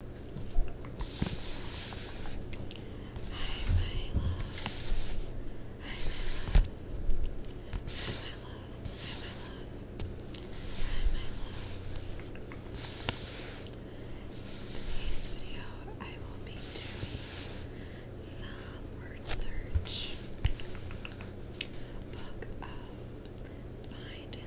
my loves. Hi, my loves. Hi, my loves. Hi, my loves. Hi, my loves. In today's video, I will be doing some word search book of find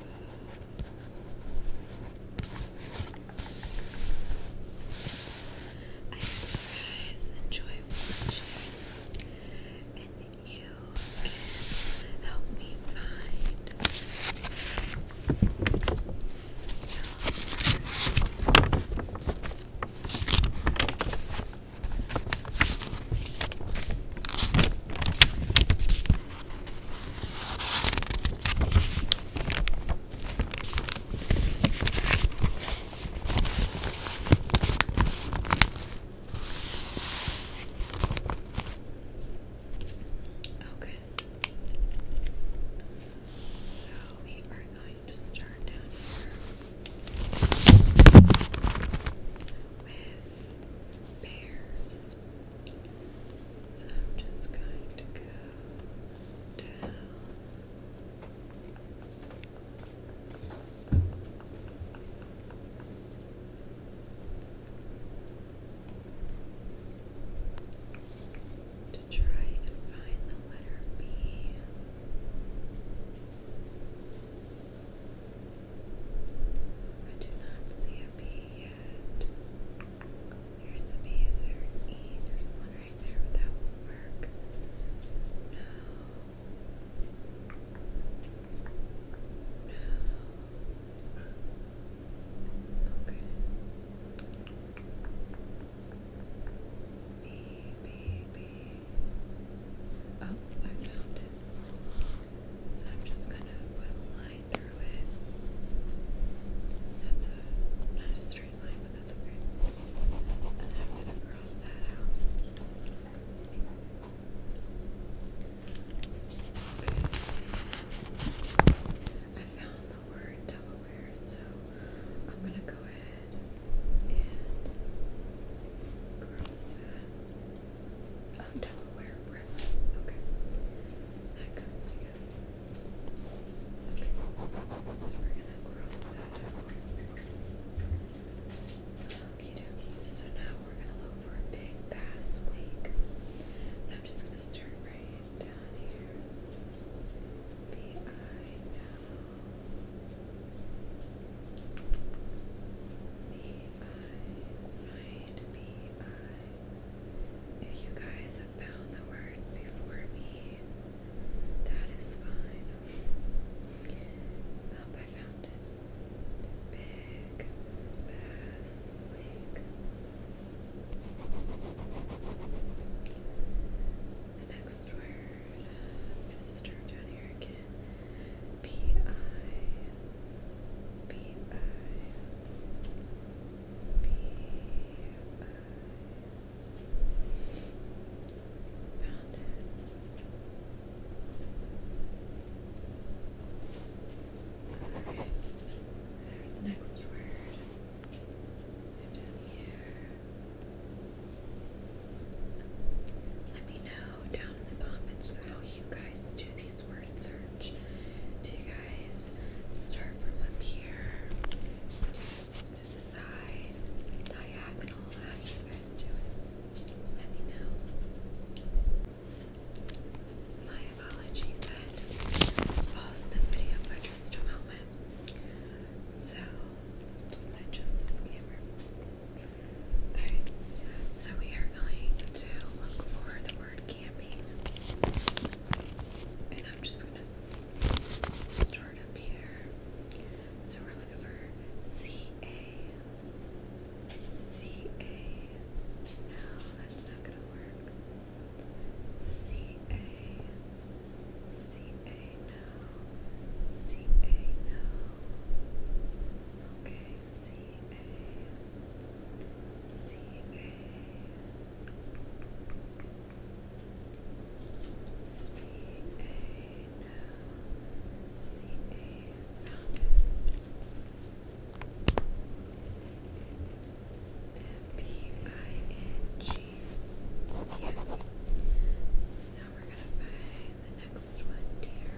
I hope you guys enjoy watching and you can help me find Okay. So we are going to start down here with pears. So I'm just going to go down. To try and find the letter B. I do not see a yet. Here's the Is there an E? There's one right there, but that work. No. No. Okay. B, B, B. Oh, I found it. So I'm just gonna put a line through it. That's a not a straight line, but that's okay. And I'm gonna cross that out. Okay. I found the word Delaware, so I'm gonna go ahead and cross that. Oh, Delaware River. Okay. That goes together. Okay. So now we're gonna look for a big bass lake. I'm just gonna start right down here. B I now. B I find B I if you guys have found the words before me, that is fine. Up, I found it. Big bass next word I'm uh, going to start down here again. P I. B I. Found there's the next word. Let me know down in the comments how you guys do these word search. Do you guys start from up here? to the side, diagonal. How you guys do it? Let me know. My apologies, pause the video for just a moment. So, just adjust this camera. Alright, so we are going to look for the word camping. And I'm just gonna start up here. So we're looking for C A C A. No, that's not gonna work. C A C A no C A no. Okay. C A C A C A now we're gonna find the next one here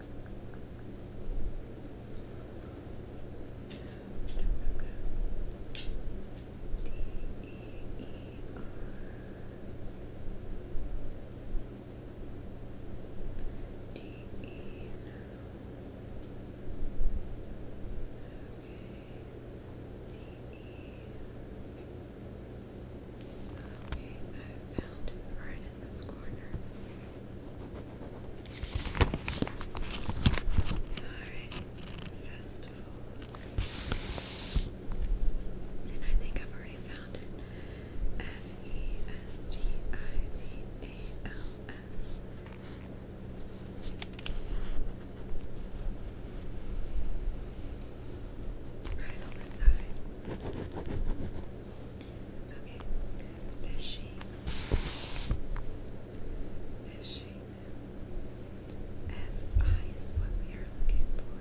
Okay, I found it right in festivals. And I think I've already found it. F E S T I V A L S. Right on the side. Okay. Fishing. Fishing. F I is what we are looking for.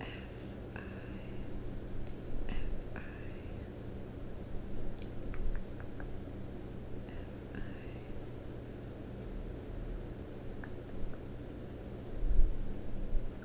F I. F I. F I. F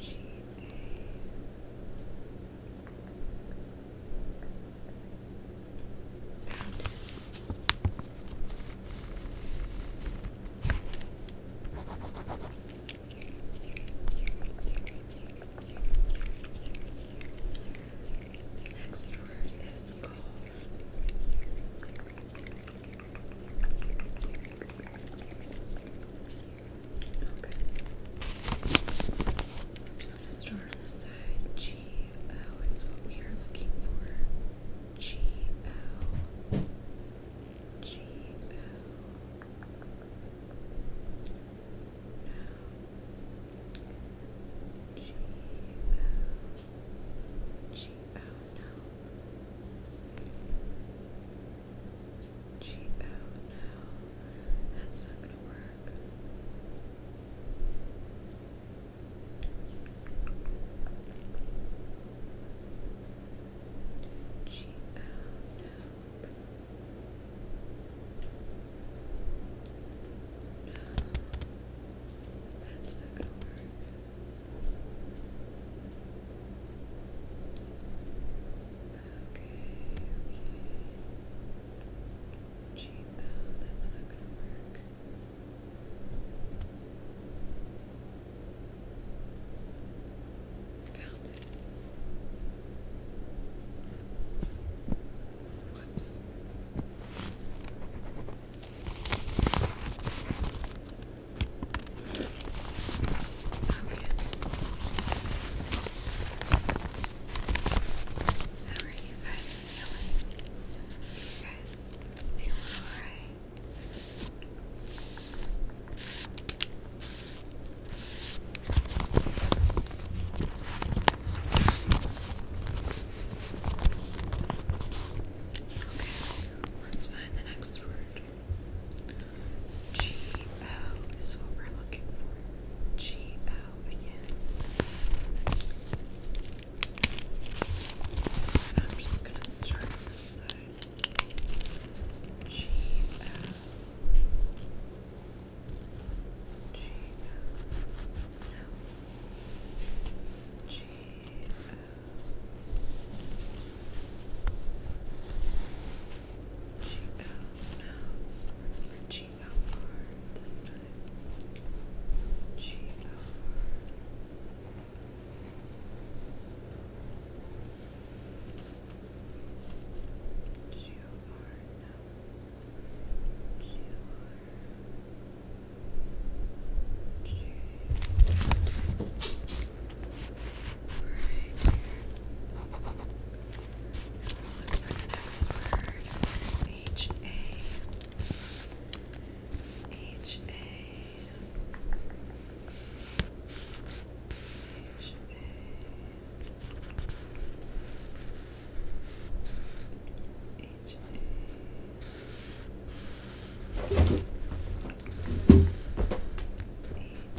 G A. Next word is golf. Okay. I'm just going to start on the side. G O is what we are looking for. G O. G O. No. G O. G O. No. G O no, that's not gonna work. G O no. No, that's not gonna work okay. Gmail, that's not gonna work. Found it. Whoops. How are guys feeling? You guys feeling alright? Okay, let's find the next word. G O is what we're looking for. G O again. I'm just gonna start this side. G O. G O. G L no for G L R this time. G L R G L R no G L R G Right look for the next word. H A H A H A H A H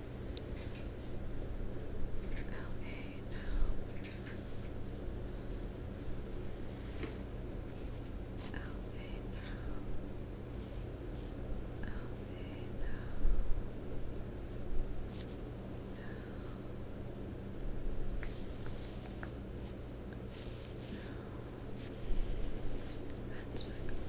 LA now. LA now. LA now. No. That's not going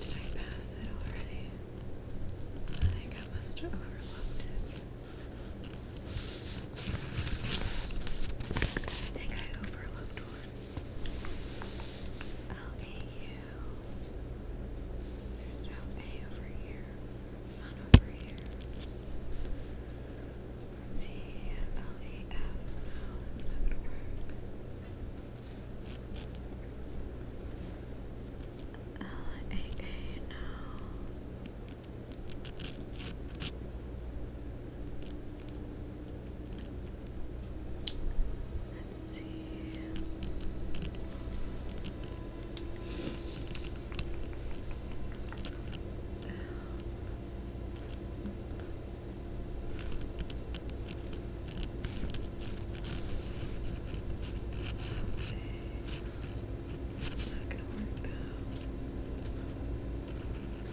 Did I pass it already? I think I must have overlooked it. I think I overlooked one. L-A-U. There's no A over here. None over here. Let's see. to work. L-A-A. No. Let's see. Okay. It's not gonna work though.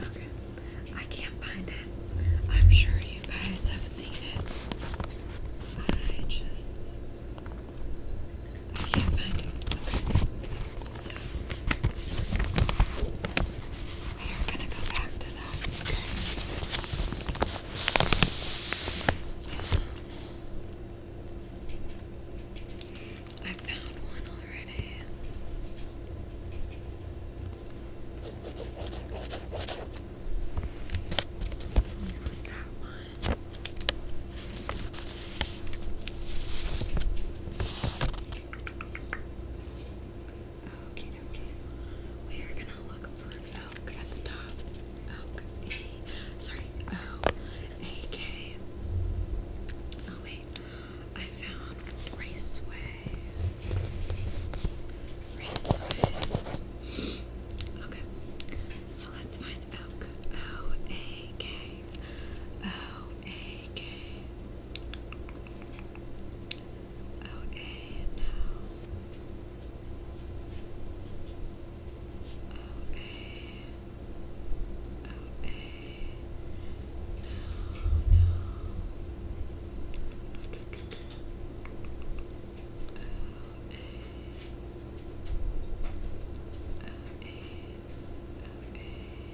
Okay, I can't find it. I'm sure you guys have seen it. I just I can't find it. We are going to go back to that. I found one already. It was that one. Okay, okay. We are gonna look for Elk at the top. Elk Sorry, O A K. Oh wait, I found Raceway. Raceway. Okay, so let's find Elk. O A K. O A K. OA now. OA. No, no.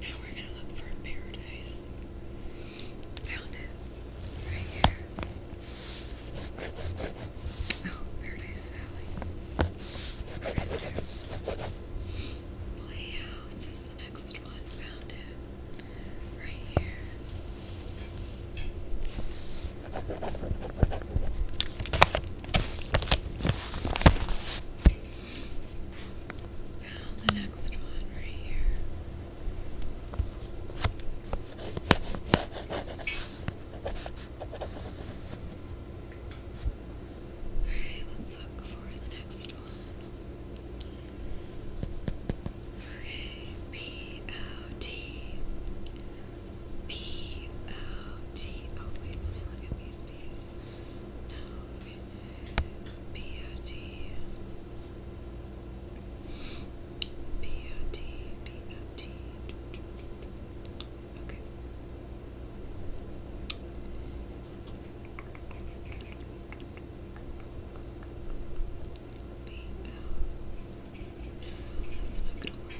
Now we're gonna look for paradise. Found it. Right here. Oh, Paradise Valley. Right there. Playhouse is the next one. Found it. Right here. Now the next one right here. Alright, let's look for the next one. Okay, P O T P O T. Oh, wait, let me look at these P's. Yes. No. B-O-T. B-O-T. B-O-T. Okay. B-O. No, that's not gonna work.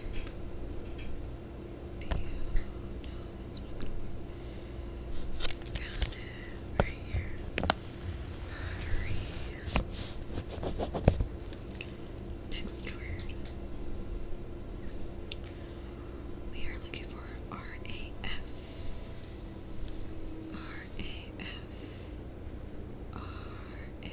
Next word. We are looking for R A F. R A F. R A R A F.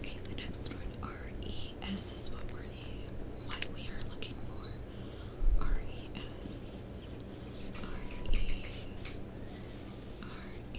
Okay, the next one, R-E-S is what we're looking for. R-E-S. R-E. R-E.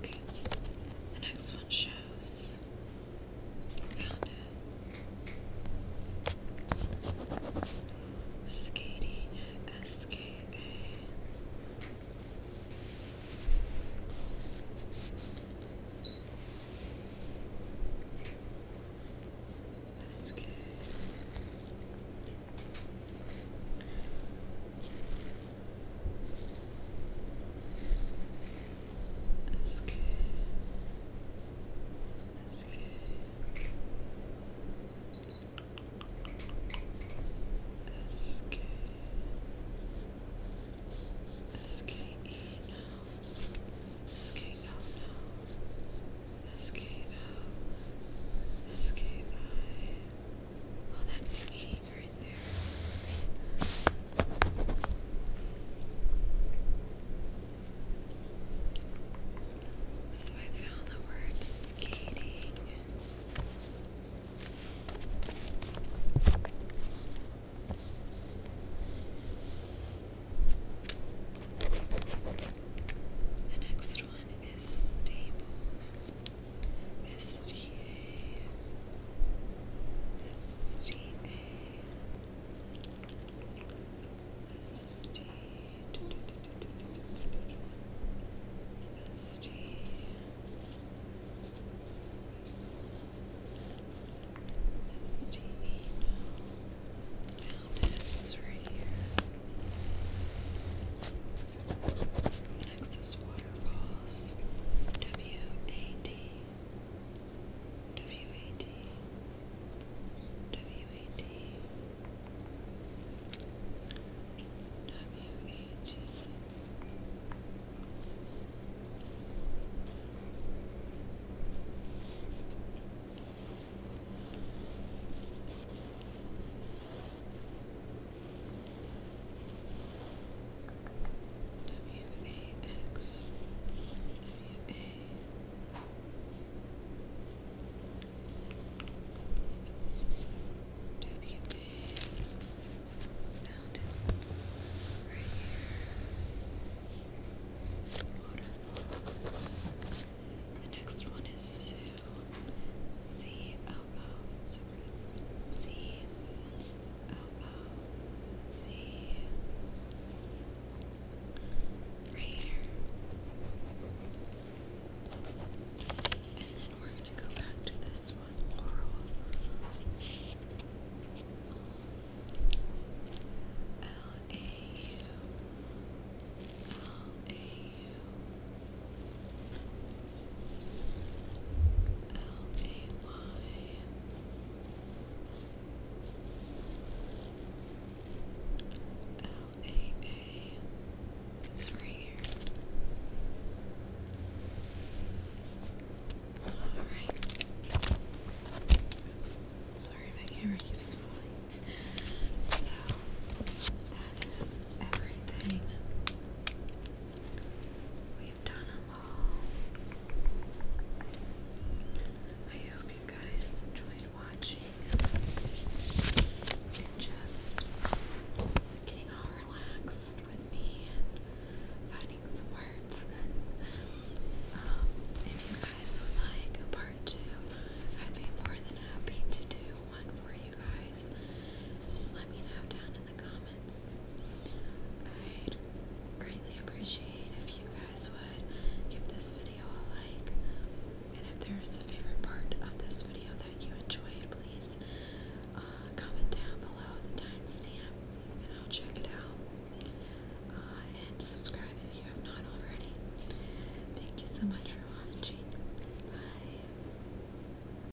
Okay. The next one shows. Found it. Skating SKA. SK. Est-ce que... est now? est now? est Oh, that's E seeing right So I found the word skating. The next one is stables. STA Found it, it's right here. Next is Waterfalls. W A T. W A T. W A T. W A T. W-A-X W-A W-A found it right here waterfalls the next one is Sue C-O elbows, C, And then we're going to go back to this one, L A U L A U it's right here. Alright. Sorry, my camera keeps falling. So, that is everything We've done them all. I hope you guys enjoyed watching and just getting all relaxed with me and finding some words. um, if you guys would like a part two, I'd be more than happy to do one for you guys. Just let me know down in the comments. I'd greatly appreciate if you guys would give this video a like. And if there's a favorite part of this video that you enjoyed, please uh, comment down below the timestamp and I'll check it out. Uh, and subscribe if you have not already. Thank you so much for watching. Bye.